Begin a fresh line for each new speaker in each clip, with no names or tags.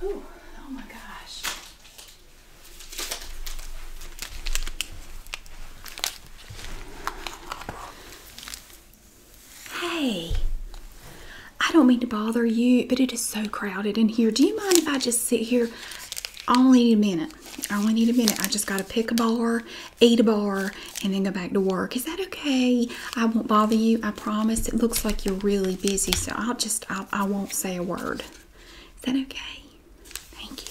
Whew, oh my gosh. Hey, I don't mean to bother you, but it is so crowded in here. Do you mind if I just sit here? I only need a minute. I only need a minute. I just got to pick a bar, eat a bar, and then go back to work. Is that okay? I won't bother you. I promise. It looks like you're really busy, so I'll just, I, won't say a word. Is that okay? Thank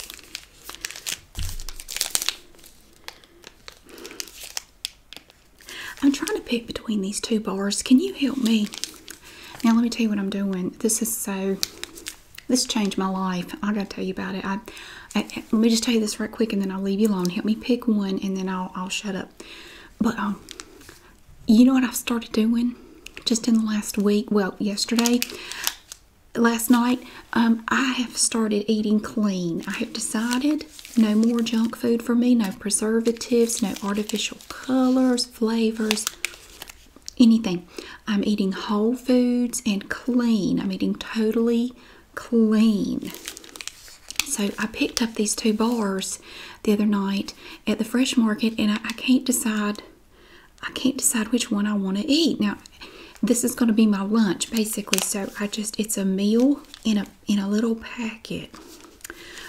you. I'm trying to pick between these two bars. Can you help me? Now, let me tell you what I'm doing. This is so, this changed my life. I gotta tell you about it. I, let me just tell you this right quick and then I'll leave you alone. Help me pick one and then I'll, I'll shut up. But um, you know what I've started doing just in the last week? Well, yesterday, last night, um, I have started eating clean. I have decided no more junk food for me, no preservatives, no artificial colors, flavors, anything. I'm eating whole foods and clean. I'm eating totally clean. So I picked up these two bars the other night at the fresh market, and I, can't decide. I can't decide which one I want to eat. Now, this is going to be my lunch basically. So I just it's a meal in a in a little packet.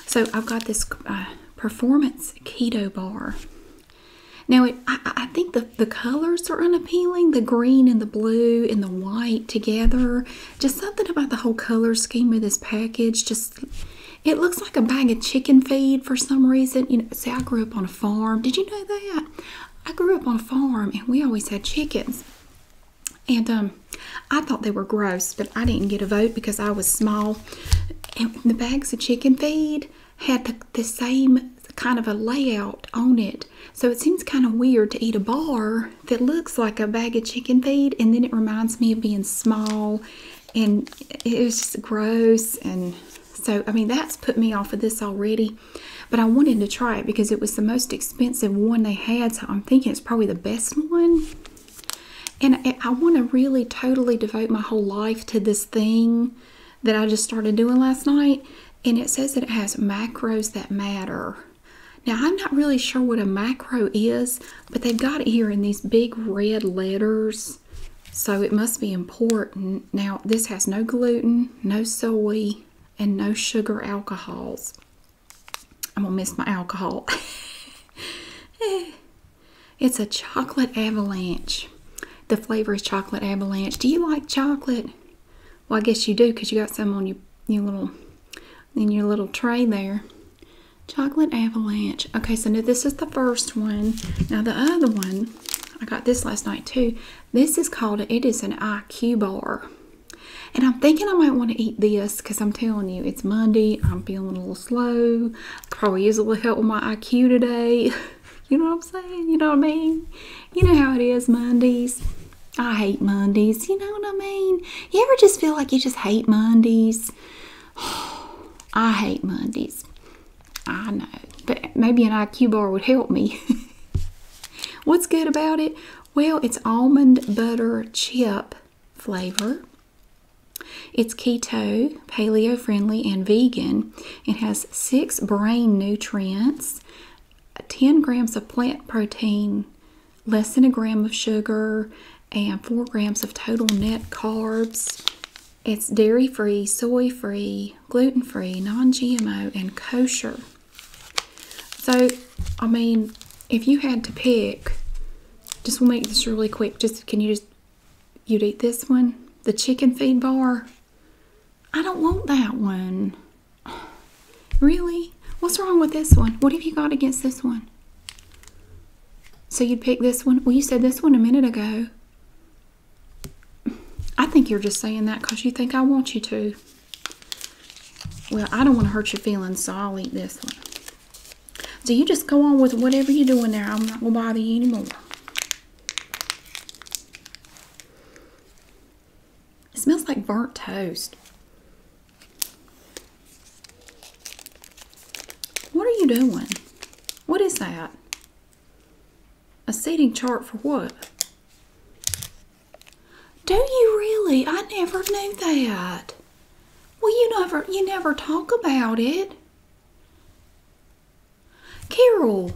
So I've got this uh, performance keto bar. Now I, I think the the colors are unappealing. The green and the blue and the white together just something about the whole color scheme of this package just it looks like a bag of chicken feed for some reason you know see i grew up on a farm did you know that i grew up on a farm and we always had chickens and um i thought they were gross but i didn't get a vote because i was small and the bags of chicken feed had the, the same kind of a layout on it so it seems kind of weird to eat a bar that looks like a bag of chicken feed, and then it reminds me of being small, and it's just gross. And so, I mean, that's put me off of this already. But I wanted to try it because it was the most expensive one they had, so I'm thinking it's probably the best one. And I want to really totally devote my whole life to this thing that I just started doing last night. And it says that it has macros that matter. Now, I'm not really sure what a macro is, but they've got it here in these big red letters, so it must be important. Now, this has no gluten, no soy, and no sugar alcohols. I'm gonna miss my alcohol. it's a chocolate avalanche. The flavor is chocolate avalanche. Do you like chocolate? Well, I guess you do because you got some on your, your little in your little tray there. Chocolate avalanche. Okay, so now this is the first one. Now the other one, I got this last night too. This is called, it is an IQ bar. And I'm thinking I might want to eat this because I'm telling you, it's Monday. I'm feeling a little slow. probably use a little help with my IQ today. you know what I'm saying? You know what I mean? You know how it is Mondays. I hate Mondays. You know what I mean? You ever just feel like you just hate Mondays? I hate Mondays. I know, but maybe an IQ bar would help me. What's good about it? Well, it's almond butter chip flavor. It's keto, paleo friendly, and vegan. It has six brain nutrients, 10 grams of plant protein less than a gram of sugar, and four grams of total net carbs. It's dairy free, soy free, gluten free, non GMO, and kosher. So, I mean, if you had to pick, just we'll make this really quick. Just can you just, you'd eat this one? The chicken feed bar? I don't want that one. Really? What's wrong with this one? What have you got against this one? So you'd pick this one? Well, you said this one a minute ago. I think you're just saying that because you think I want you to. Well, I don't want to hurt your feelings, so I'll eat this one. So you just go on with whatever you're doing there. I'm not going to bother you anymore. It smells like burnt toast. What are you doing? What is that? A seating chart for what? Do you really? I never knew that. Well, you never you never talk about it. Carol,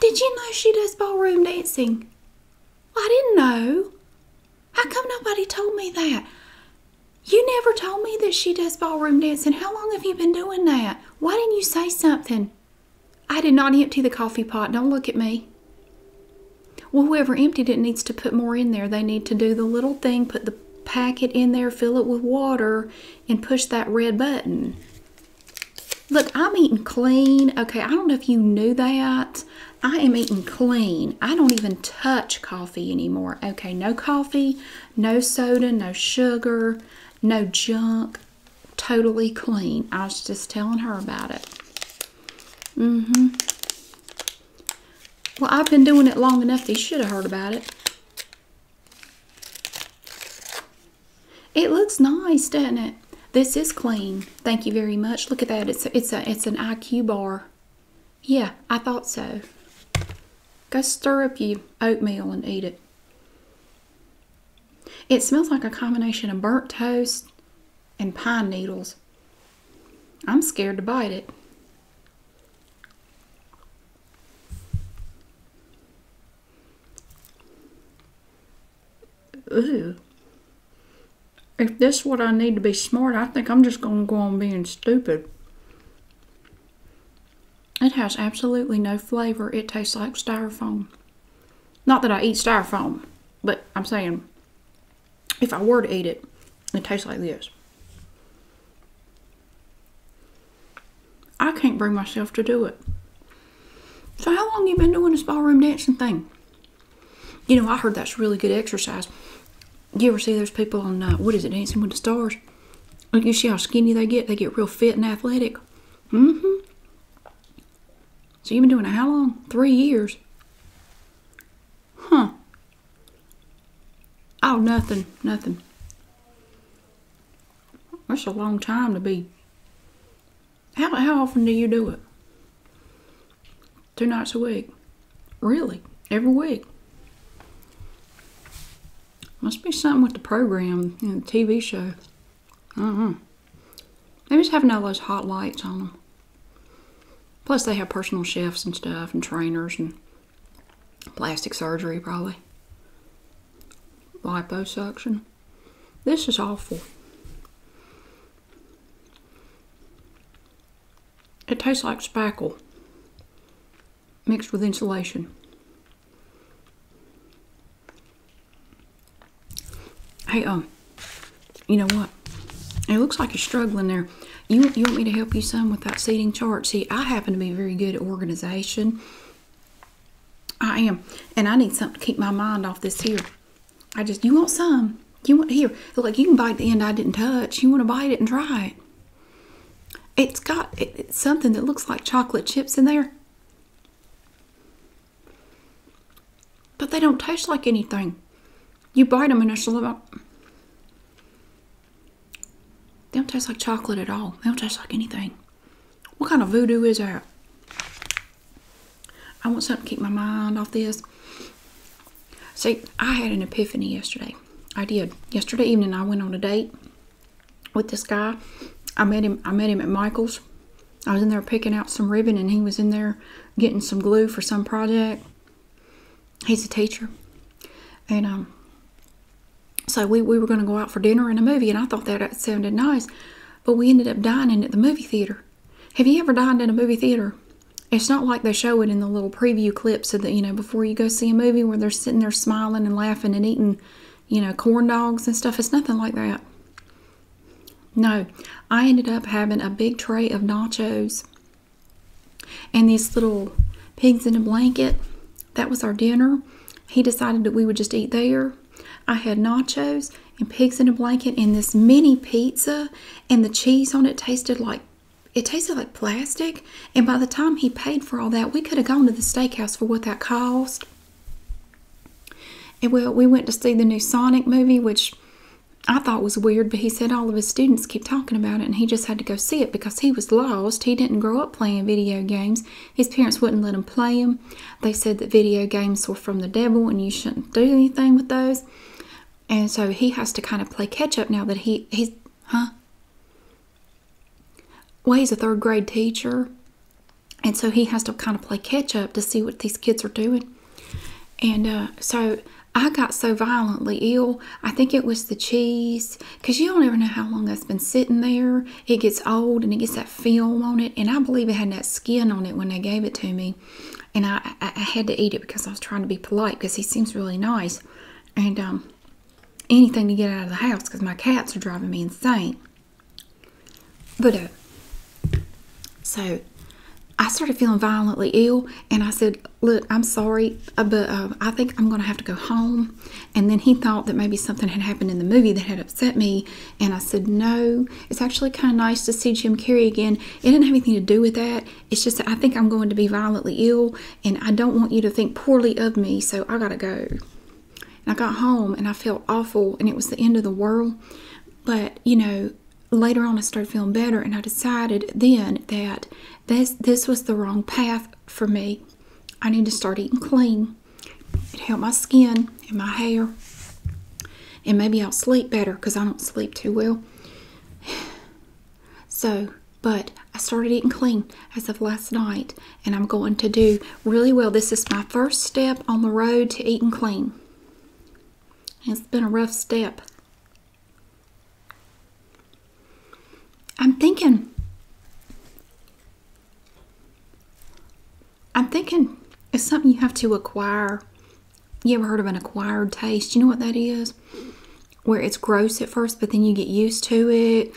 did you know she does ballroom dancing? I didn't know. How come nobody told me that? You never told me that she does ballroom dancing. How long have you been doing that? Why didn't you say something? I did not empty the coffee pot. Don't look at me. Well, whoever emptied it needs to put more in there. They need to do the little thing, put the packet in there, fill it with water, and push that red button. Look, I'm eating clean. Okay, I don't know if you knew that. I am eating clean. I don't even touch coffee anymore. Okay, no coffee, no soda, no sugar, no junk. Totally clean. I was just telling her about it. Mm-hmm. Well, I've been doing it long enough. They should have heard about it. It looks nice, doesn't it? This is clean. Thank you very much. Look at that. It's it's a it's an IQ bar. Yeah, I thought so. Go stir up your oatmeal and eat it. It smells like a combination of burnt toast and pine needles. I'm scared to bite it. Ooh if this what I need to be smart, I think I'm just going to go on being stupid. It has absolutely no flavor. It tastes like styrofoam. Not that I eat styrofoam, but I'm saying if I were to eat it, it tastes like this. I can't bring myself to do it. So how long you been doing this ballroom dancing thing? You know, I heard that's really good exercise. You ever see those people on, uh, what is it, Dancing with the Stars? You see how skinny they get? They get real fit and athletic. Mm-hmm. So you've been doing it how long? Three years. Huh. Oh, nothing, nothing. That's a long time to be. How, how often do you do it? two nights a week. Really, every week. Must be something with the program, and the TV show. I don't know. They just having all those hot lights on them. Plus, they have personal chefs and stuff, and trainers, and plastic surgery, probably. Liposuction. This is awful. It tastes like spackle mixed with insulation. Hey, um, you know what? It looks like you're struggling there. You, you want me to help you some with that seating chart? See, I happen to be very good at organization. I am. And I need something to keep my mind off this here I just, you want some? You want here? Like you can bite the end I didn't touch. You want to bite it and try it? It's got it's something that looks like chocolate chips in there, but they don't taste like anything. You bite them and they're still about. They don't taste like chocolate at all. They don't taste like anything. What kind of voodoo is that? I want something to keep my mind off this. See, I had an epiphany yesterday. I did. Yesterday evening, I went on a date with this guy. I met him. I met him at Michael's. I was in there picking out some ribbon, and he was in there getting some glue for some project. He's a teacher, and um, so we we were going to go out for dinner and a movie, and I thought that, that sounded nice, but we ended up dining at the movie theater. Have you ever dined in a movie theater? it's not like they show it in the little preview clip, so that you know before you go see a movie where they're sitting there smiling and laughing and eating you know corn dogs and stuff it's nothing like that no i ended up having a big tray of nachos and these little pigs in a blanket that was our dinner he decided that we would just eat there i had nachos and pigs in a blanket and this mini pizza and the cheese on it tasted like it tasted like plastic. And by the time he paid for all that, we could have gone to the steakhouse for what that cost. And well, we went to see the new Sonic movie, which I thought was weird, but he said all of his students keep talking about it and he just had to go see it because he was lost. He didn't grow up playing video games. His parents wouldn't let him play them. They said that video games were from the devil and you shouldn't do anything with those. And so he has to kind of play catch up now that he he's huh? Well, he's a third grade teacher. And so he has to kind of play catch up to see what these kids are doing. And uh, so I got so violently ill. I think it was the cheese because you don't ever know how long that's been sitting there. It gets old and it gets that film on it. And I believe it had that skin on it when they gave it to me and I, had to eat it because I was trying to be polite because he seems really nice, and um, anything to get out of the house because my cats are driving me insane. But uh, so I started feeling violently ill, and I said, "Look, I'm sorry, uh, but uh, I think I'm going to have to go home." And then he thought that maybe something had happened in the movie that had upset me, and I said, "No, it's actually kind of nice to see Jim Carrey again. It didn't have anything to do with that. It's just that I think I'm going to be violently ill and I don't want you to think poorly of me, so I gotta go. I got home and I felt awful and it was the end of the world. But, you know, later on I started feeling better and I decided then that this, this was the wrong path for me. I need to start eating clean. It helped my skin and my hair. And maybe I'll sleep better because I don't sleep too well. So, but I started eating clean as of last night, and I'm going to do really well. This is my first step on the road to eating clean. It's been a rough step. I'm thinking, I'm thinking it's something you have to acquire you ever heard of an acquired taste? You know what that is? Where it's gross at first, but then you get used to it,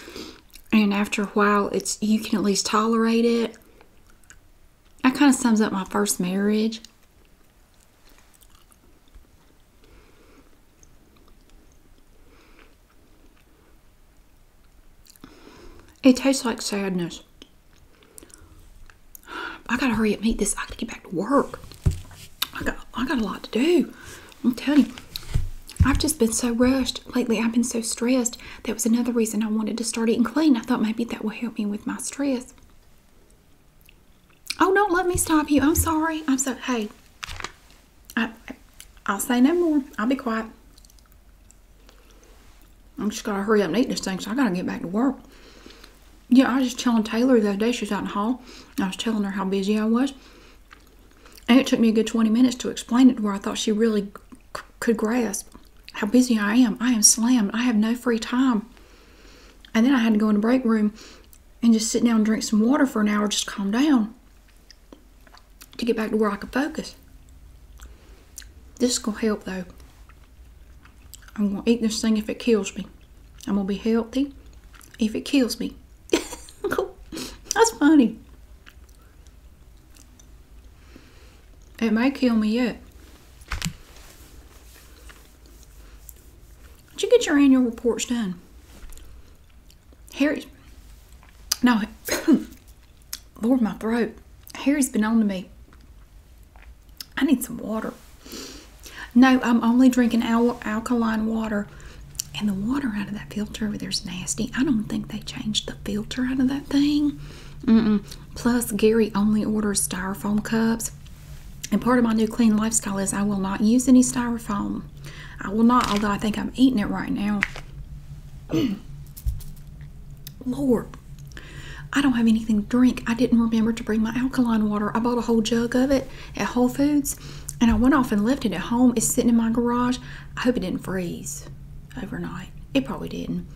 and after a while, it's you can at least tolerate it. That kind of sums up my first marriage. It tastes like sadness. I gotta hurry up and eat this. I gotta get back to work. I got I got a lot to do. I'm telling you. I've just been so rushed lately. I've been so stressed. That was another reason I wanted to start eating clean. I thought maybe that will help me with my stress. Oh, don't let me stop you. I'm sorry. I'm so hey. I I'll say no more. I'll be quiet. I'm just gotta hurry up and eat this thing, so I gotta get back to work. Yeah, I was just telling Taylor the other day, she was out in the hall, I was telling her how busy I was. And it took me a good 20 minutes to explain it to her. I thought she really could grasp how busy I am. I am slammed. I have no free time. And then I had to go in the break room and just sit down and drink some water for an hour, just calm down to get back to where I could focus. This is going to help though. I'm going to eat this thing if it kills me. I'm going to be healthy if it kills me. That's funny. It might kill me yet. Did you get your annual reports done? Harry? No. Lord, my throat. Harry's been on to me I need some water. No, I'm only drinking alkaline water. And the water out of that filter over there's nasty. I don't think they changed the filter out of that thing. -mm. Plus, Gary only orders styrofoam cups. And part of my new clean lifestyle is I will not use any styrofoam. I will not, although I think I'm eating it right now. Lord. I don't have anything to drink. I didn't remember to bring my alkaline water. I bought a whole jug of it at Whole Foods and I went off and left it at home. It's sitting in my garage. I hope it didn't freeze overnight. It probably didn't.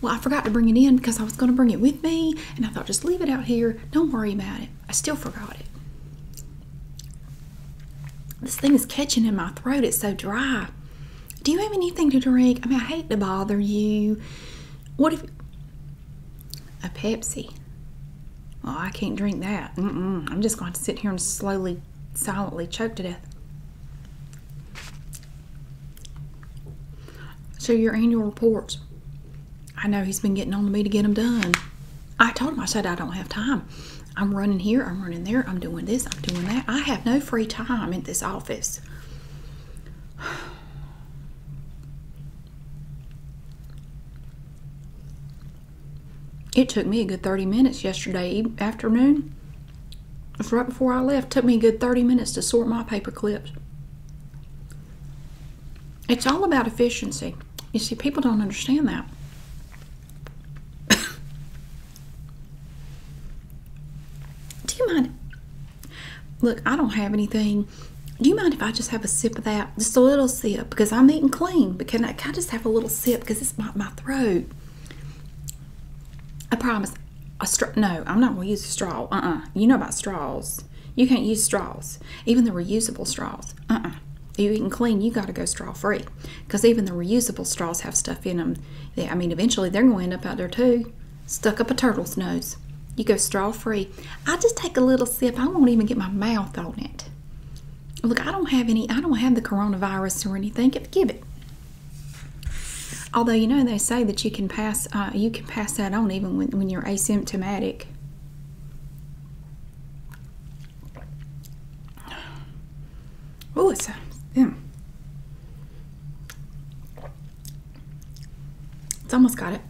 Well, I forgot to bring it in because I was going to bring it with me and I thought just leave it out here. Don't worry about it. I still forgot it. This thing is catching in my throat. It's so dry. Do you have anything to drink? I mean, I hate to bother you. What if a Pepsi. Oh, I can't drink that. Mm -mm. I'm just going to sit here and slowly, silently choke to death. So your annual reports. I know he's been getting on to me to get them done. I told him, I said, I don't have time. I'm running here, I'm running there, I'm doing this, I'm doing that. I have no free time in this office. It took me a good 30 minutes yesterday afternoon. It was right before I left. took me a good 30 minutes to sort my paper clips. It's all about efficiency. You see, people don't understand that. Do you mind? Look, I don't have anything. Do you mind if I just have a sip of that? Just a little sip because I'm eating clean. Because I, can just have a little sip because it's my, my throat? I promise. A straw? No, I'm not going to use a straw. Uh-uh. You know about straws. You can't use straws. Even the reusable straws. Uh-uh. You eating clean, you got to go straw free because even the reusable straws have stuff in them. I mean, eventually they're going to end up out there too stuck up a turtle's nose. You go straw free. I just take a little sip. I won't even get my mouth on it. Look, I don't have any, I don't have the coronavirus or anything. give it. Although you know they say that you can pass, uh, you can pass that on even when, you're asymptomatic. Oh, it's a, hmm. It's almost got it.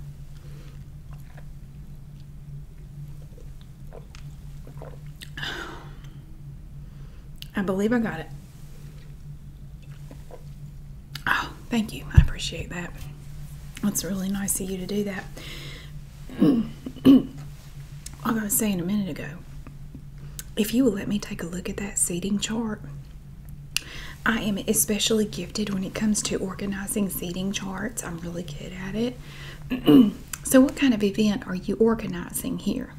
I believe I got it. Oh, thank you. I appreciate that. It's really nice of you to do that. I was saying a minute ago, if you will let me take a look at that seating chart I am especially gifted when it comes to organizing seating charts. I'm really good at it. so, what kind of event are you organizing here?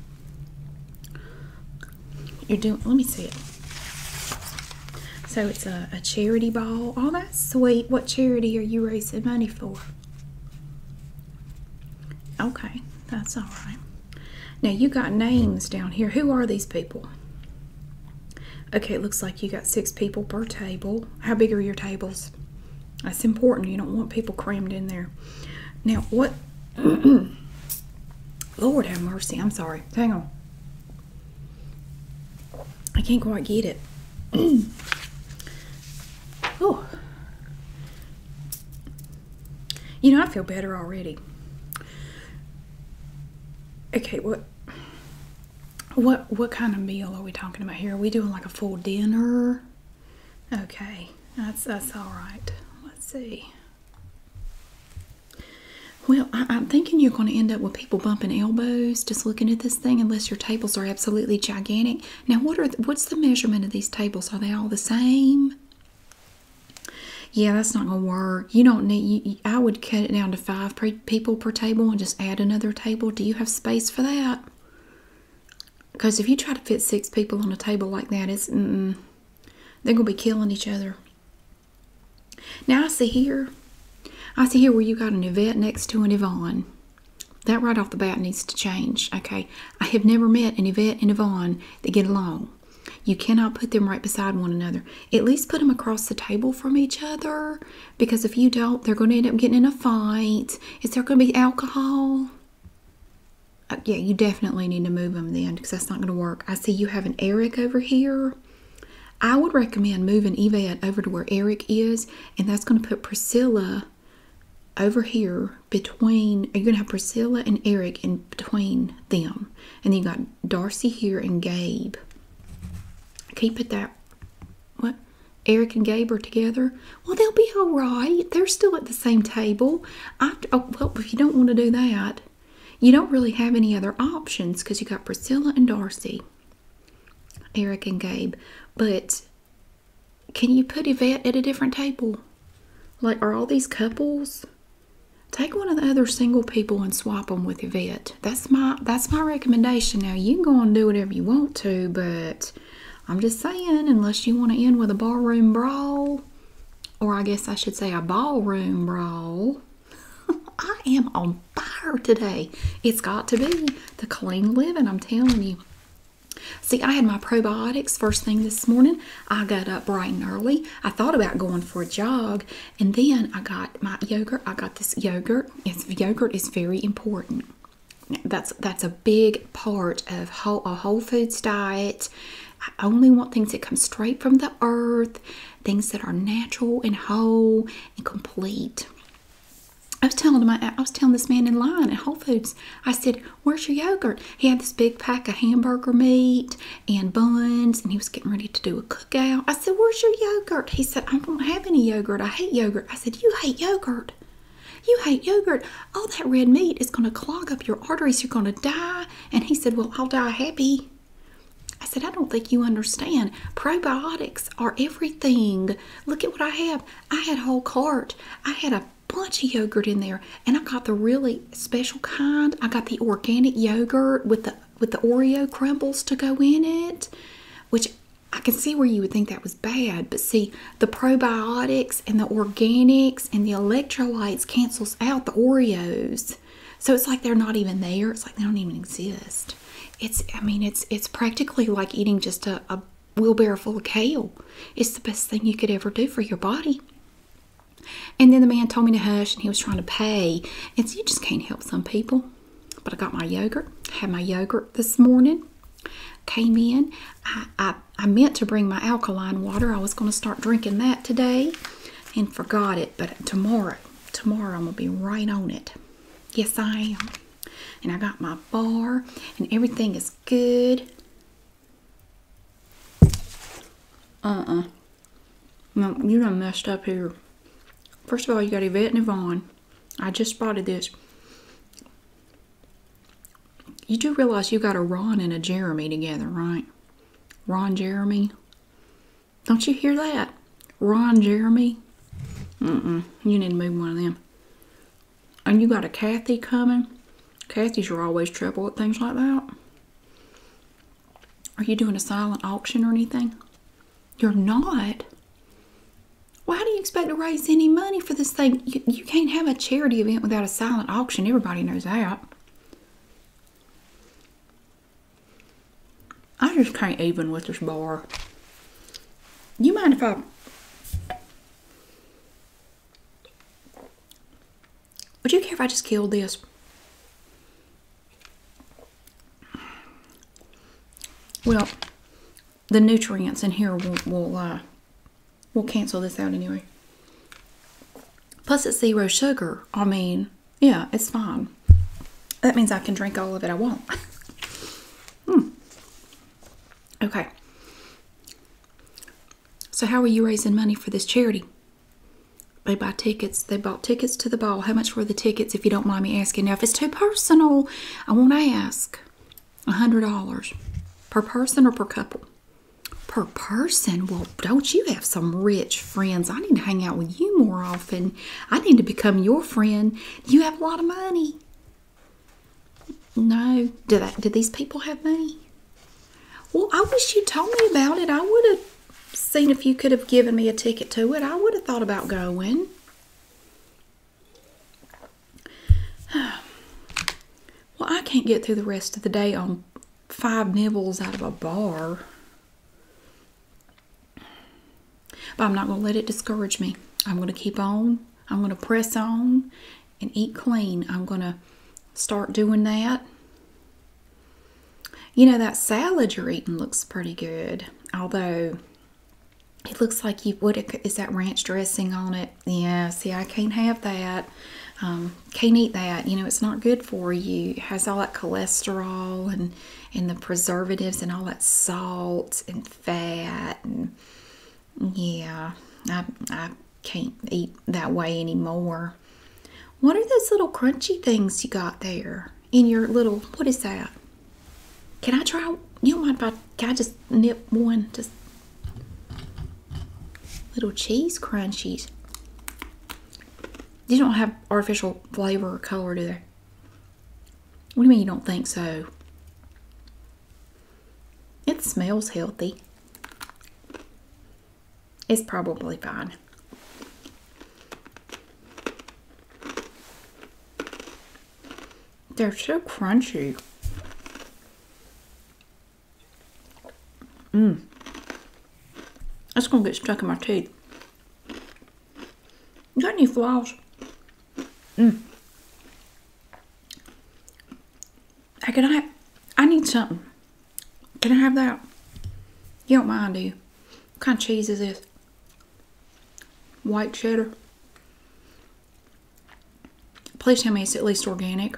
You're doing, let me see it. So, it's a, charity ball. Oh, that's sweet. What charity are you raising money for? Okay, that's all right. Now, you got names down here. Who are these people? Okay, it looks like you got six people per table. How big are your tables? That's important. You don't want people crammed in there. Now, what? Lord have mercy. I'm sorry. Hang on. I can't quite get it. oh. You know, I feel better already. Okay, what what what kind of meal are we talking about here? Are we doing like a full dinner? Okay, that's that's all right. Let's see. Well, I, am thinking you're going to end up with people bumping elbows just looking at this thing, unless your tables are absolutely gigantic. Now, what are what's the measurement of these tables? Are they all the same? Yeah, that's not gonna work. You don't need you, I would cut it down to five people per table and just add another table. Do you have space for that? Because if you try to fit six people on a table like that, it's they're gonna be killing each other. Now I see here, I see here where you got an Yvette next to an Yvonne. That right off the bat needs to change. Okay, I have never met an Yvette and Yvonne that get along. You cannot put them right beside one another at least put them across the table from each other because if you don't, they're going to end up getting in a fight. Is there going to be alcohol? Uh, yeah, you definitely need to move them then because that's not going to work. I see you have an Eric over here. I would recommend moving Yvette over to where Eric is, and that's going to put Priscilla over here between, you're going to have Priscilla and Eric in between them. And then you got Darcy here and Gabe. Can you put that? What? Eric and Gabe are together. Well, they'll be all right. They're still at the same table. I, oh, well, if you don't want to do that, you don't really have any other options because you got Priscilla and Darcy, Eric and Gabe. But can you put Yvette at a different table? Like, are all these couples? Take one of the other single people and swap them with Yvette. That's my that's my recommendation. Now you can go and do whatever you want to, but I'm just saying, unless you want to end with a ballroom brawl, or I guess I should say a ballroom brawl. I am on fire today. It's got to be the clean living, I'm telling you. See, I had my probiotics first thing this morning. I got up bright and early. I thought about going for a jog, and then I got my yogurt. I got this yogurt. It's, yogurt is very important. That's that's a big part of whole, a whole foods diet. I only want things that come straight from the earth, things that are natural and whole and complete. I was telling my I was telling this man in line at Whole Foods. I said, "Where's your yogurt?" He had this big pack of hamburger meat and buns, and he was getting ready to do a cook I said, Where's your yogurt? He said, I don't have any yogurt. I hate yogurt. I said, You hate yogurt. You hate yogurt. All that red meat is going to clog up your arteries. You're going to die. And he said, Well, I'll die happy. I said, I don't think you understand. Probiotics are everything. Look at what I have. I had a whole cart. I had a bunch of yogurt in there. And I got the really special kind. I got the organic yogurt with the with the Oreo crumbles to go in it, which I can see where you would think that was bad, but see the probiotics and the organics and the electrolytes cancels out the Oreos. So it's like they're not even there. It's like they don't even exist. It's I mean it's it's practically like eating just a, wheelbarrow full of kale. It's the best thing you could ever do for your body. And then the man told me to hush and he was trying to pay. And so you just can't help some people but I got my yogurt. Had my yogurt this morning. Came in. I, I, I meant to bring my alkaline water. I was going to start drinking that today and forgot it. But tomorrow, tomorrow I'm going to be right on it. Yes, I am. And I got my bar and everything is good. Uh-uh. No, you done messed up here. First of all, you got Yvette and Yvonne. I just spotted this. You do realize you got a Ron and a Jeremy together, right? Ron Jeremy. Don't you hear that? Ron Jeremy. Mm-mm. You need to move one of them. And you got a Kathy coming. Kathy's are always trouble with things like that. Are you doing a silent auction or anything? You're not. Why do you expect to raise any money for this thing? you can't have a charity event without a silent auction. Everybody knows that. I just can't even with this bar. You mind if I... Would you care if I just killed this? Well, the nutrients in here will, uh, will, cancel this out anyway. Plus, it's zero sugar. I mean, yeah, it's fine. That means I can drink all of it I want. hmm. Okay. So, how are you raising money for this charity? They buy tickets. They bought tickets to the ball. How much were the tickets, if you don't mind me asking? Now, if it's too personal, I won't ask. A $100 per person or per couple? Per person? Well, don't you have some rich friends? I need to hang out with you more often. I need to become your friend. You have a lot of money. No. Do, that, do these people have money? Well, I wish you told me about it. I would have seen if you could have given me a ticket to it, I would have thought about going. well, I can't get through the rest of the day on five nibbles out of a bar. But I'm not going to let it discourage me. I'm going to keep on. I'm going to press on and eat clean. I'm going to start doing that. You know, that salad you're eating looks pretty good, although it looks like you would. Is that ranch dressing on it? Yeah, see, I can't have that. Um, can't eat that. You know, it's not good for you. has all that cholesterol and, and the preservatives and all that salt and fat. And yeah, I, I can't eat that way anymore. What are those little crunchy things you got there? in your little what is that? Can I try? You don't mind if I just nip one? Just little cheese crunchies. You don't have artificial flavor or color, do they? What do you mean you don't think so? It smells healthy. It's probably fine. They're so crunchy. Mmm. That's gonna get stuck in my teeth. You got any flaws? Mmm. can I, I need something. Can I have that? You don't mind, do you? What kind of cheese is this? White cheddar. Please tell me it's at least organic.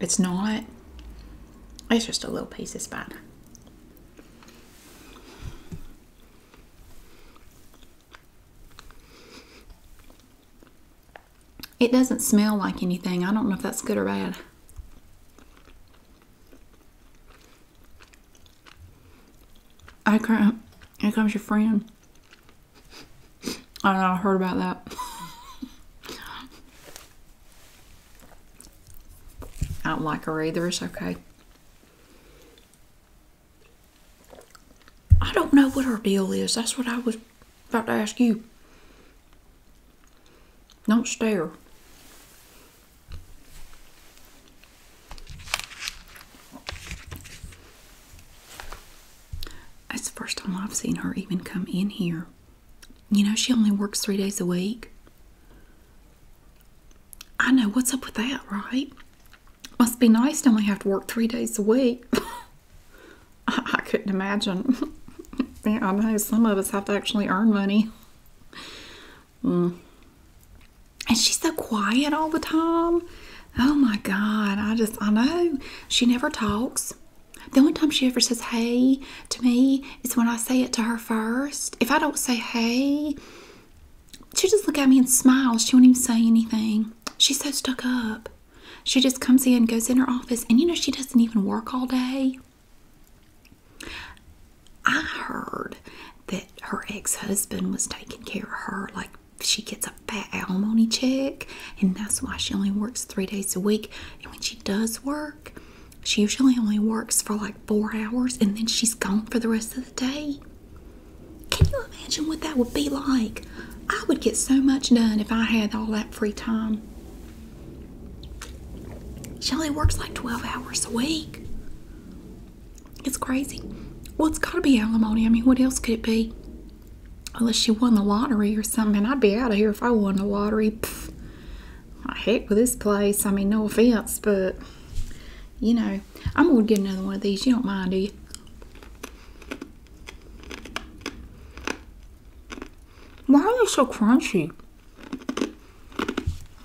It's not. It's just a little piece of spine. It doesn't smell like anything. I don't know if that's good or bad. I can't. Here comes your friend. I don't know. I heard about that. I don't like her either. It's okay. I don't know what her deal is. That's what I was about to ask you. Don't stare. It's the first time I've seen her even come in here. You know, she only works three days a week. I know, what's up with that, right? Must be nice to only have to work three days a week. I, I couldn't imagine. yeah, I know some of us have to actually earn money. Mm. And she's so quiet all the time. Oh my God, I just, I know. She never talks. The only time she ever says hey to me is when I say it to her first. If I don't say hey, she just look at me and smiles. She won't even say anything. She's so stuck up. She just comes in, goes in her office, and you know, she doesn't even work all day. I heard that her ex husband was taking care of her, like she gets a fat alimony check, and that's why she only works three days a week. And when she does work, she usually only works for like four hours and then she's gone for the rest of the day. Can you imagine what that would be like? I would get so much done if I had all that free time. She only works like 12 hours a week. It's crazy. Well, it's got to be alimony. I mean, what else could it be? Unless she won the lottery or something. I'd be out of here if I won the lottery. Pfft. I heck with this place. I mean, no offense, but you know, I'm going to get another one of these. You don't mind, do you? Why are they so crunchy?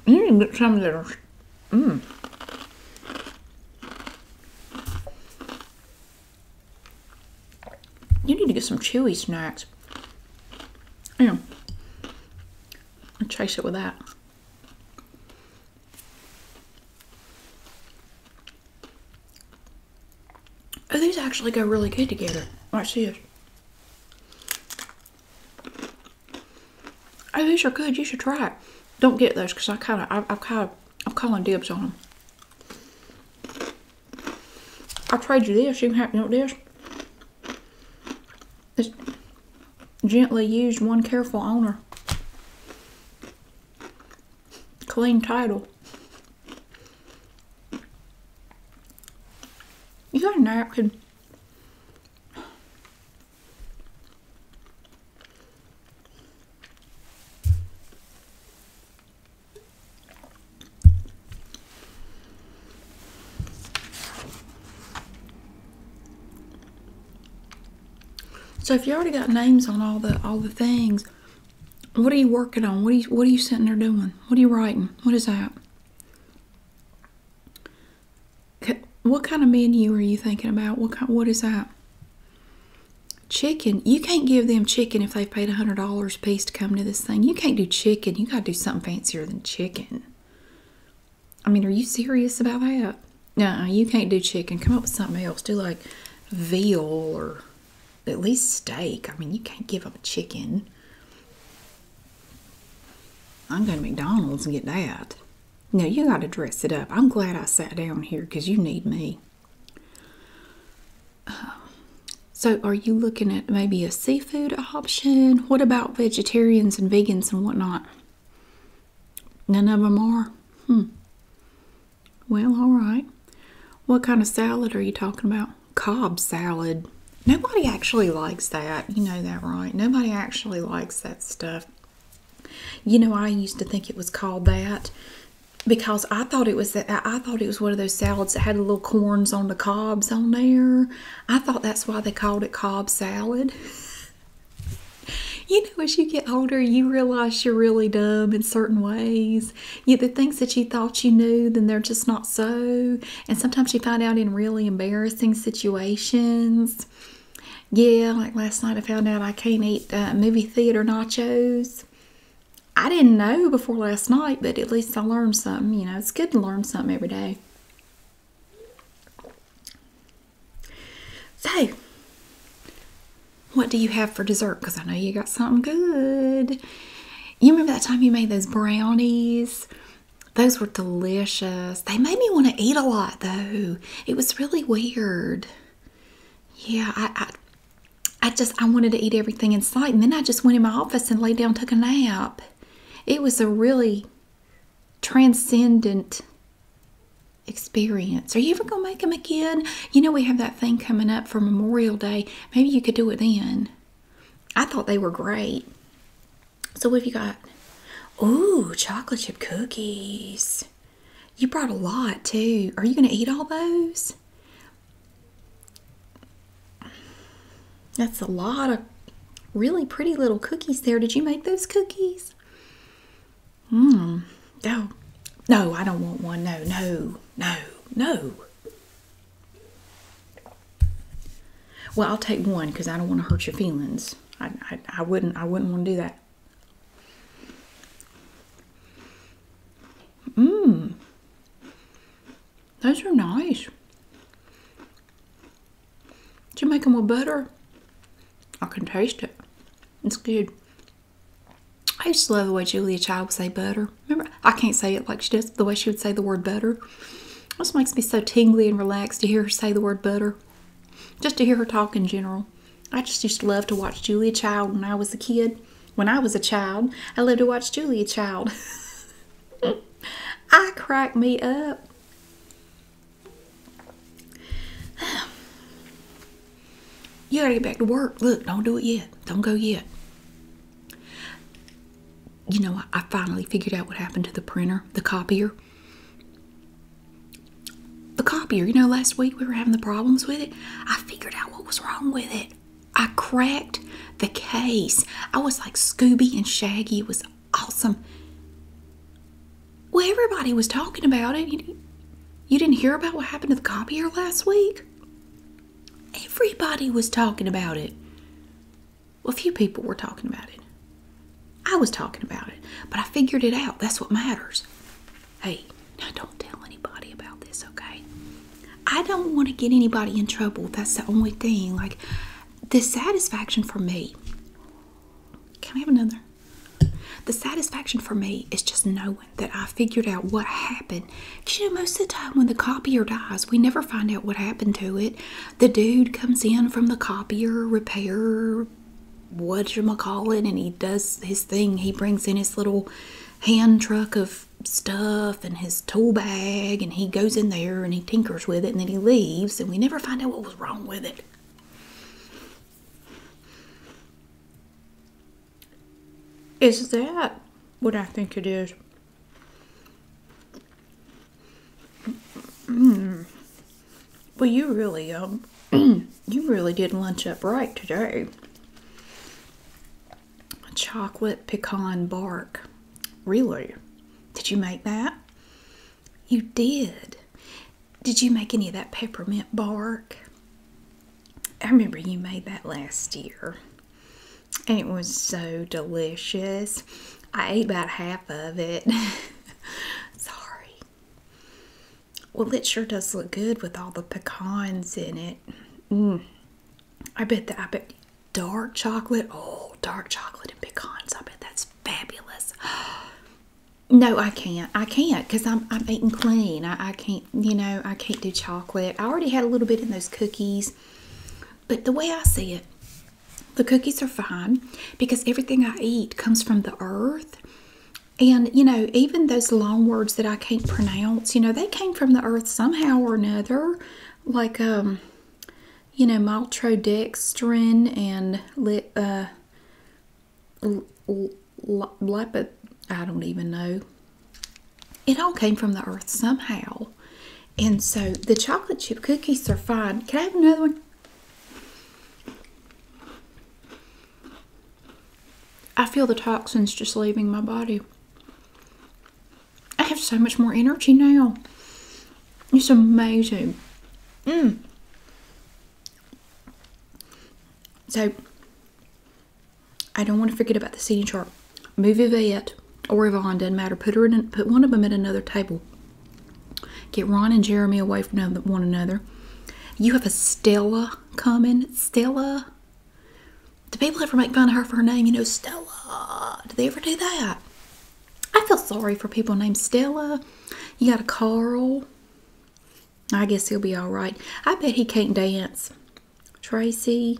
You mmm, can get some little. Mmm. You need to get some chewy snacks. Yeah. And chase it with that. Oh, these actually go really good together. Watch this. Oh, these are good. You should try it. Don't get those because I kind of, I'm kind of, I'm calling dibs on them. I trade you this. You can have you know this. gently used, one careful owner. Clean title. You got a napkin. So if you already got names on all the all the things, what are you working on? What are you what are you sitting there doing? What are you writing? What is that? What kind of menu are you thinking about? What kind? What is that? Chicken. You can't give them chicken if they've paid $100 a piece to come to this thing. You can't do chicken. You got to do something fancier than chicken. I mean, are you serious about that? No, you can't do chicken. Come up with something else. Do like veal or at least steak. I mean, you can't give them chicken. I'm going to McDonald's and get that. Now you got to dress it up. I'm glad I sat down here because you need me. so, are you looking at maybe a seafood option? What about vegetarians and vegans and whatnot? None of them are? Hmm. Well, all right. What kind of salad are you talking about? Cobb salad. Nobody actually likes that. You know that, right? Nobody actually likes that stuff. You know, I used to think it was called that because I thought it was that I thought it was one of those salads that had little corns on the cobs on there. I thought that's why they called it cob salad. you know, as you get older, you realize you're really dumb in certain ways. You, the things that you thought you knew, then they're just not so. And sometimes you find out in really embarrassing situations. Yeah, like last night I found out I can't eat uh, movie theater nachos. I didn't know before last night, but at least I learned something. You know, it's good to learn something every day. So, what do you have for dessert? Because I know you got something good. You remember that time you made those brownies those were delicious. They made me want to eat a lot though. It was really weird. Yeah, I, I, just I wanted to eat everything in sight, and then I just went in my office and lay down, took a nap. It was a really transcendent experience. Are you ever gonna make them again? You know we have that thing coming up for Memorial Day. Maybe you could do it then. I thought they were great. So what have you got? Oh, chocolate chip cookies. You brought a lot too. Are you going to eat all those? That's a lot of really pretty little cookies there. Did you make those cookies? Mmm. No. No, I don't want one. No, no, no, no. Well, I'll take one because I don't want to hurt your feelings. I, I, wouldn't I wouldn't want to do that. Mmm. Those are nice. Did you make them with butter? I can taste it. It's good. I used to love the way Julia Child would say butter. Remember, I can't say it like she does, the way she would say the word butter. This makes me so tingly and relaxed to hear her say the word butter. Just to hear her talk in general. I just used to love to watch Julia Child when I was a kid. When I was a child, I loved to watch Julia Child. I crack me up. You gotta get back to work. Look, don't do it yet. Don't go yet you know, I finally figured out what happened to the printer, the copier. The copier, you know, last week we were having the problems with it. I figured out what was wrong with it. I cracked the case. I was like Scooby and Shaggy. It was awesome. Well, everybody was talking about it. You, you didn't hear about what happened to the copier last week? Everybody was talking about it a few people were talking about it. I was talking about it, but I figured it out. That's what matters. Hey, now don't tell anybody about this, okay? I don't want to get anybody in trouble. That's the only thing. Like, the satisfaction for me. Can I have another? The satisfaction for me is just knowing that I figured out what happened. you know, most of the time when the copier dies, we never find out what happened to it. The dude comes in from the copier repair, what you call it, and he does his thing. He brings in his little hand truck of stuff and his tool bag, and he goes in there and he tinkers with it, and then he leaves, and we never find out what was wrong with it. Is that what I think it is? Mm. well, you really, um, you really did lunch up right today. Chocolate pecan bark. Really? Did you make that? You did. Did you make any of that peppermint bark? I remember you made that last year. And it was so delicious. I ate about half of it. Sorry. Well, it sure does look good with all the pecans in it. Mm. I bet that I bet dark chocolate. Oh, dark chocolate and pecans. I bet that's fabulous. No, I can't. I can't because I'm I'm eating clean. I can't, you know, I can't do chocolate. I already had a little bit in those cookies. But the way I see it, the cookies are fine because everything I eat comes from the earth. And, you know, even those long words that I can't pronounce, you know, they came from the earth somehow or another. Like, um, you know, maltodextrin and li uh, lipid, I don't even know. It all came from the earth somehow. And so the chocolate chip cookies are fine. Can I have another one? I feel the toxins just leaving my body. I have so much more energy now. It's amazing. Mm. So, I don't want to forget about the seating chart. Movie Vet or Yvonne, doesn't matter. Put her in, put one of them at another table. Get Ron and Jeremy away from one another. You have a Stella coming. Stella. Do people ever make fun of her for her name? You know, Stella. Do they ever do that? I feel sorry for people named Stella. You got a Carl. I guess he'll be all right. I bet he can't dance. Tracy.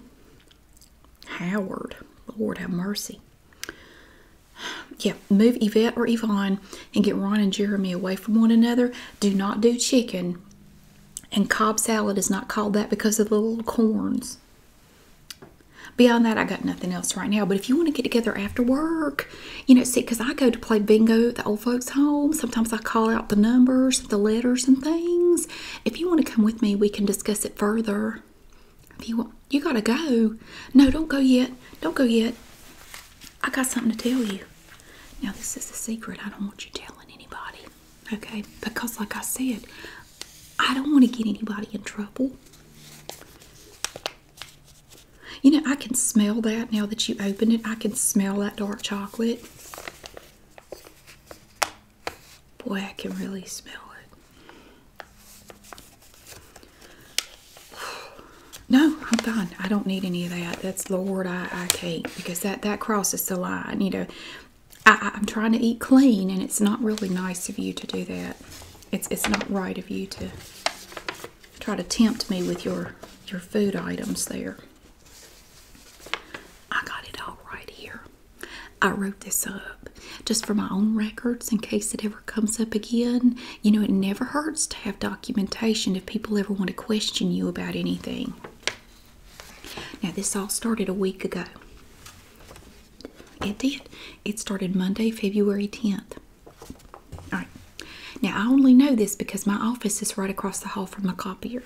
Howard. Lord have mercy. Yeah, move Yvette or Yvonne and get Ron and Jeremy away from one another. Do not do chicken. And Cobb salad is not called that because of the little corns. Beyond that, I got nothing else right now. But if you want to get together after work, you know, see, because I go to play bingo at the old folks' home. Sometimes I call out the numbers, the letters, and things. If you want to come with me, we can discuss it further you want, you gotta go. No, don't go yet. Don't go yet. I got something to tell you. Now, this is a secret. I don't want you telling anybody, okay? Because, like I said, I don't want to get anybody in trouble. You know, I can smell that now that you open it. I can smell that dark chocolate. Boy, I can really smell it. No, I'm fine. I don't need any of that. That's Lord, I, I can't because that, that crosses the line. You know, I, I'm trying to eat clean and it's not really nice of you to do that. It's, it's not right of you to try to tempt me with your, your food items there. I got it all right here. I wrote this up just for my own records in case it ever comes up again. You know, it never hurts to have documentation if people ever want to question you about anything. Now, this all started a week ago. It did. It started Monday, February 10th. All right. Now, I only know this because my office is right across the hall from the copier.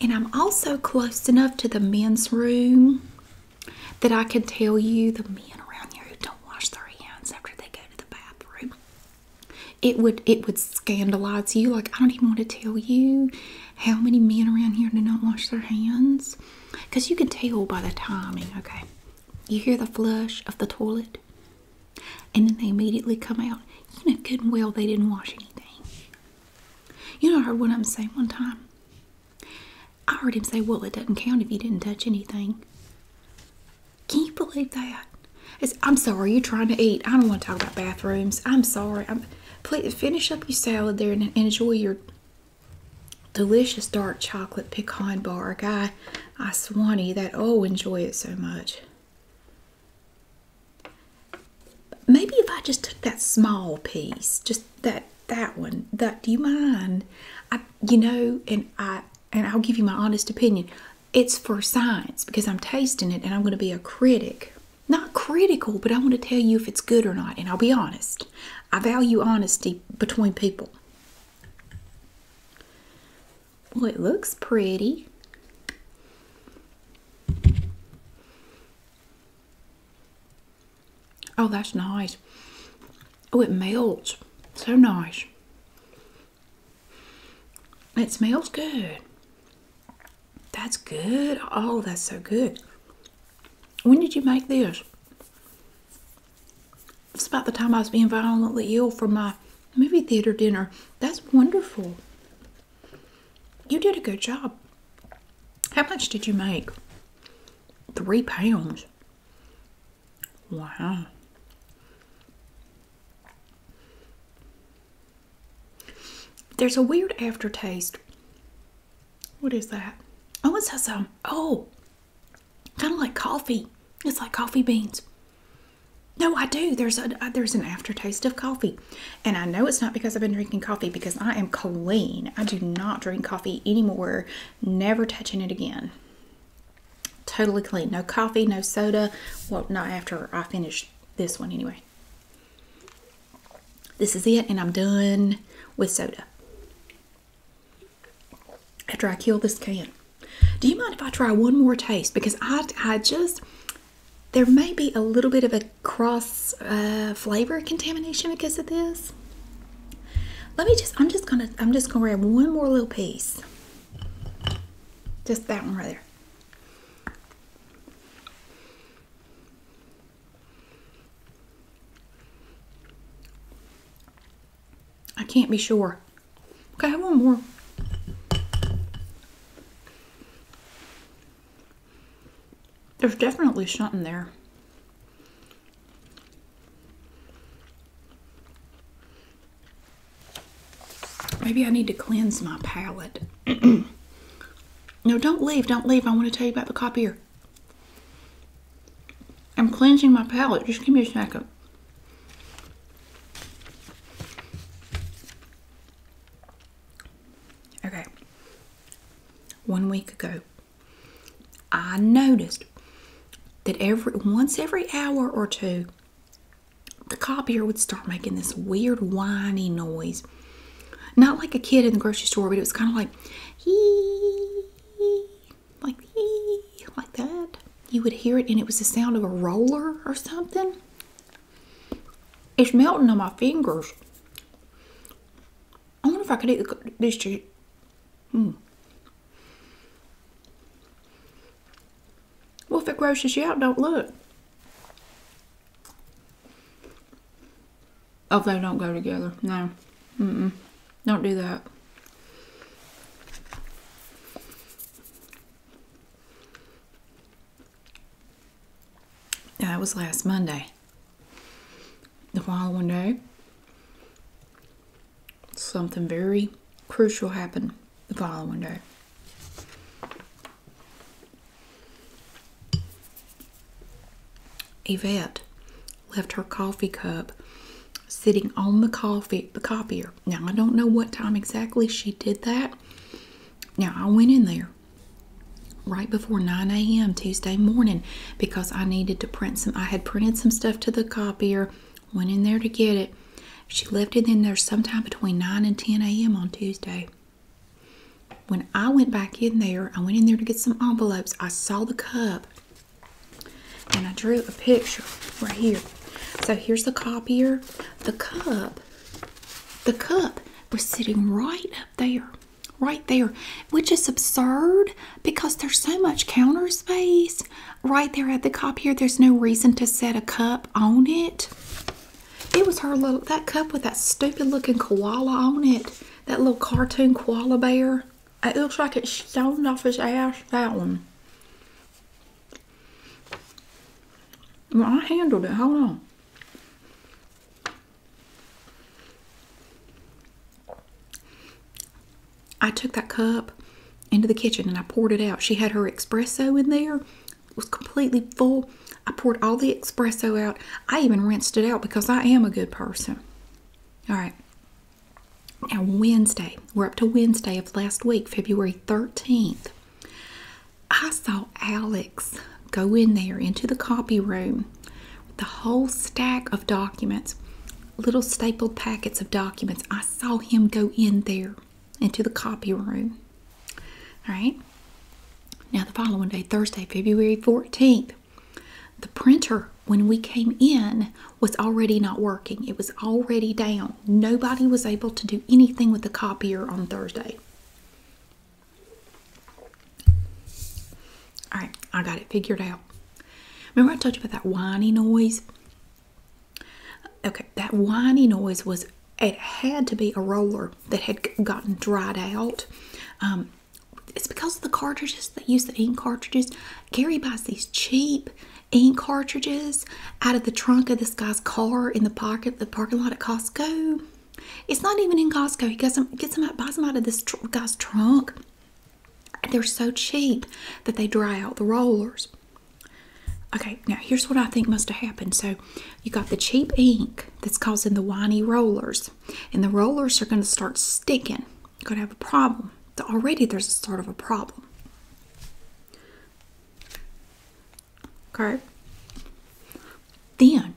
And I'm also close enough to the men's room that I can tell you the men around here who don't wash their hands after they go to the bathroom. It would it would scandalize you. Like I don't even want to tell you how many men around here do not wash their hands. Because you can tell by the timing, okay? You hear the flush of the toilet and then they immediately come out. You know good and well they didn't wash anything. You know heard what I'm saying one time I heard him say, Well, it doesn't count if you didn't touch anything. Can you believe that? I'm sorry, you're trying to eat. I don't want to talk about bathrooms. I'm sorry. I'm, please finish up your salad there and enjoy your delicious dark chocolate pecan bar. Guy, I swanny that. Oh, enjoy it so much. Maybe if I just took that small piece, just that that one that do you mind i you know and i and i'll give you my honest opinion it's for science because i'm tasting it and i'm going to be a critic not critical but i want to tell you if it's good or not and i'll be honest i value honesty between people well it looks pretty Oh, that's nice. Oh, it melts. So nice. It smells good. That's good. Oh, that's so good. When did you make this? It's about the time I was being violently ill from my movie theater dinner. That's wonderful. You did a good job. How much did you make? Three pounds. Wow. There's a weird aftertaste. What is that? Oh, it's some. Oh, kind of like coffee. It's like coffee beans. No, I do. There's a uh, there's an aftertaste of coffee, and I know it's not because I've been drinking coffee because I am clean. I do not drink coffee anymore never touching it again. Totally clean. No coffee, no soda. Well, not after I finish this one anyway. This is it, and I'm done with soda. After I kill this can. Do you mind if I try one more taste? Because I, I just, there may be a little bit of a cross uh, flavor contamination because of this. Let me just, I'm just gonna, I'm just gonna grab one more little piece. Just that one right there. I can't be sure. Okay, I have one more. There's definitely something there. Maybe I need to cleanse my palate. no, don't leave. Don't leave. I want to tell you about the copier. I'm cleansing my palate. Just give me a second. Okay. One week ago, I noticed that every once every hour or two, the copier would start making this weird whiny noise. Not like a kid in the grocery store, but it was kind of like like hee, like that. You would hear it, and it was the sound of a roller or something. It's melting on my fingers. I wonder if I could eat this cheap. Hmm. Well, if it grosses you out, don't look. Oh, they don't go together. No. Mm-mm. Don't do that. That was last Monday. The following day, something very crucial happened the following day. Yvette left her coffee cup sitting on the coffee the copier. Now I don't know what time exactly she did that. Now I went in there right before 9 a.m. Tuesday morning because I needed to print some. I had printed some stuff to the copier, went in there to get it. She left it in there sometime between 9 and 10 a.m. on Tuesday. When I went back in there, I went in there to get some envelopes. I saw the cup and I drew a picture right here. So here's the copier. The cup, the cup was sitting right up there right there, which is absurd because there's so much counter space right there at the copier. There's no reason to set a cup on it. It was her little, that cup with that stupid looking koala on it, that little cartoon koala bear. It looks like it's stoned off his ass, that one. Well, I handled it, hold on. I took that cup into the kitchen and I poured it out. She had her espresso in there, it was completely full. I poured all the espresso out. I even rinsed it out because I am a good person. All right. Now, Wednesday, we're up to Wednesday of last week, February 13th. I saw Alex go in there into the copy room with the whole stack of documents, little stapled packets of documents. I saw him go in there into the copy room. All right. Now, the following day, Thursday, February 14th, the printer, when we came in, was already not working. It was already down. Nobody was able to do anything with the copier on Thursday. All right, I got it figured out. Remember I told you about that whiny noise? Okay, that whiny noise was it had to be a roller that had gotten dried out. Um, it's because of the cartridges they use the ink cartridges. Gary buys these cheap ink cartridges out of the trunk of this guy's car in the pocket, the parking lot at Costco. It's not even in Costco. He gets them, gets them out, buys them out of this guy's trunk they're so cheap that they dry out the rollers. Okay, now here's what I think must have happened. So you got the cheap ink that's causing the whiny rollers, and the rollers are going to start sticking. You're going to have a problem. Already there's a start of a problem. Okay. Then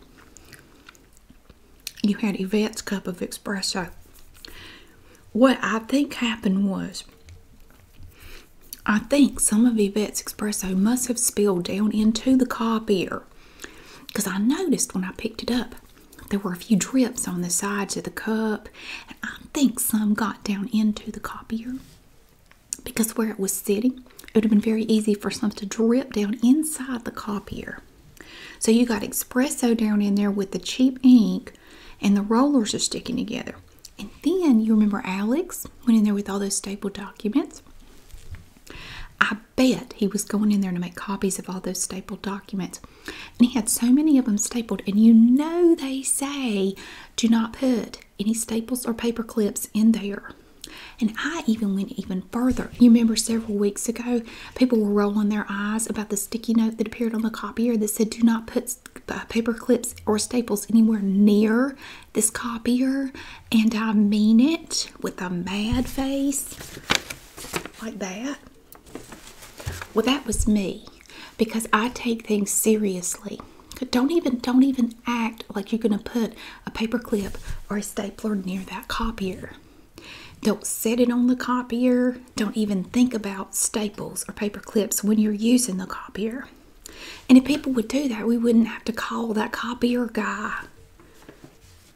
you had Yvette's cup of espresso. What I think happened was, I think some of Yvette's espresso must have spilled down into the copier because I noticed when I picked it up there were a few drips on the sides of the cup, and I think some got down into the copier because where it was sitting, it would have been very easy for some to drip down inside the copier. So you got espresso down in there with the cheap ink and the rollers are sticking together. And then you remember Alex went in there with all those stapled documents. I bet he was going in there to make copies of all those stapled documents. And he had so many of them stapled. And you know they say do not put any staples or paper clips in there. And I even went even further. You remember several weeks ago, people were rolling their eyes about the sticky note that appeared on the copier that said, Do not put uh, paper clips or staples anywhere near this copier. And I mean it with a mad face like that. Well, that was me because I take things seriously. Don't even don't even act like you're gonna put a paper clip or a stapler near that copier. Don't set it on the copier. Don't even think about staples or paper clips when you're using the copier. And if people would do that, we wouldn't have to call that copier guy.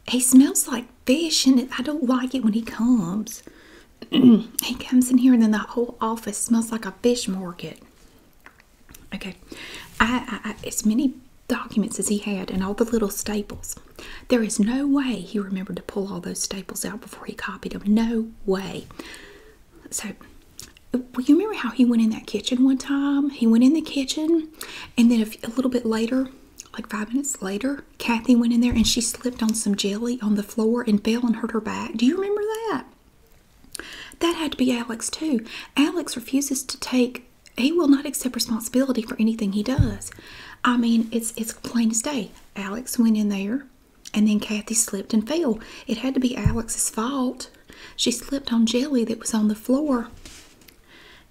He smells like fish, and I don't like it when he comes. he comes in here, and then the whole office smells like a fish market. Okay, I, as many documents as he had, and all the little staples. There is no way he remembered to pull all those staples out before he copied them. No way. So, well, you remember how he went in that kitchen one time? He went in the kitchen, and then a little bit later, like five minutes later, Kathy went in there and she slipped on some jelly on the floor and fell and hurt her back. Do you remember that? That had to be Alex, too. Alex refuses to take he will not accept responsibility for anything he does. I mean, it's it's plain as day. Alex went in there, and then Kathy slipped and fell. It had to be Alex's fault. She slipped on jelly that was on the floor.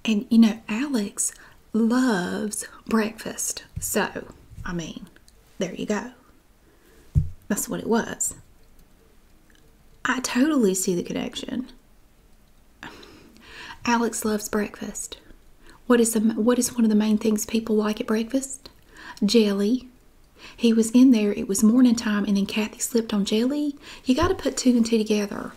And you know, Alex loves breakfast. So, I mean, there you go. That's what it was. I totally see the connection. Alex loves breakfast. What is the, what is one of the main things people like at breakfast? Jelly. He was in there. It was morning time, and then Kathy slipped on jelly. You got to put two and two together.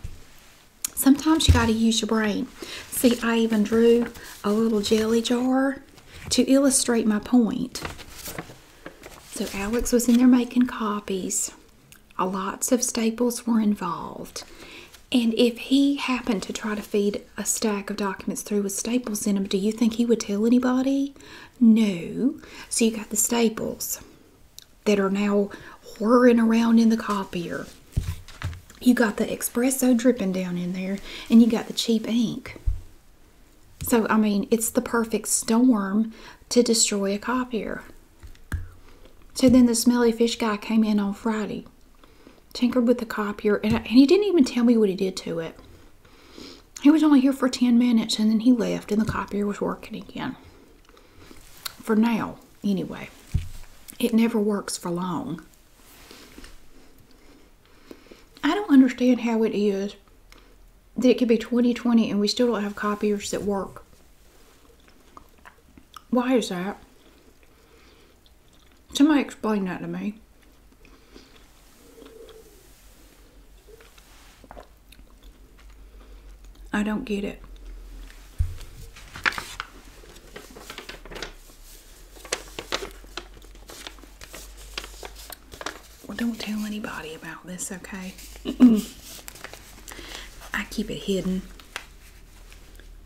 Sometimes you got to use your brain. See, I even drew a little jelly jar to illustrate my point. So Alex was in there making copies. Lots of staples were involved. And if he happened to try to feed a stack of documents through with staples in them, do you think he would tell anybody? No. So you got the staples that are now whirring around in the copier. You got the espresso dripping down in there, and you got the cheap ink. So, I mean, it's the perfect storm to destroy a copier. So then the smelly fish guy came in on Friday, tinkered with the copier, and, he didn't even tell me what he did to it. He was only here for 10 minutes and then he left, and the copier was working again. For now, anyway, it never works for long. I don't understand how it is that it could be 2020 and we still don't have copiers that work. Why is that? Somebody explain that to me. I don't get it. Well, don't tell anybody about this, okay? I keep it hidden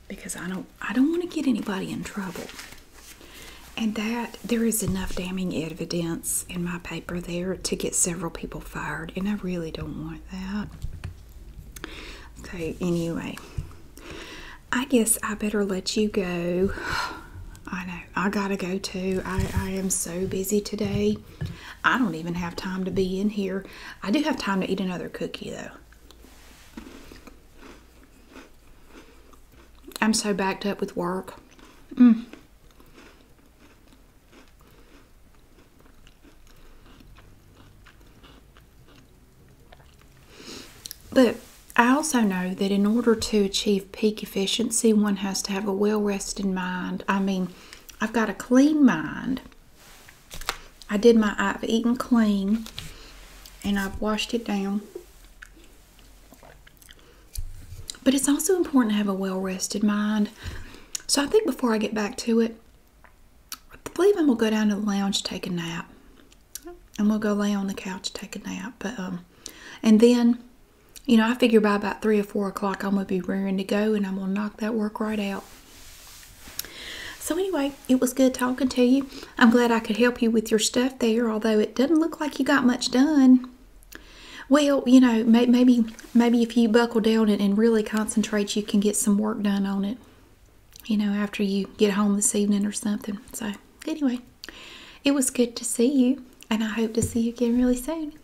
because I don't I don't want to get anybody in trouble. And that there is enough damning evidence in my paper there to get several people fired, and I really don't want that. So anyway, I guess I better let you go. I know I gotta go too. I, I am so busy today. I don't even have time to be in here. I do have time to eat another cookie though. I'm so backed up with work. Mm. But I also know that in order to achieve peak efficiency, one has to have a well rested mind. I mean, I've got a clean mind. I did my I've eaten clean and I've washed it down. But it's also important to have a well rested mind. So I think before I get back to it, I believe I'm gonna go down to the lounge, take a nap. I'm gonna go lay on the couch, take a nap. But um and then, you know, I figure by about three or four o'clock I'm gonna be rearing to go and I'm gonna knock that work right out. So anyway, it was good talking to you. I'm glad I could help you with your stuff there, although it doesn't look like you got much done. Well, you know, maybe maybe if you buckle down and, and really concentrate, you can get some work done on it. You know, after you get home this evening or something. So anyway, it was good to see you, and I hope to see you again really soon.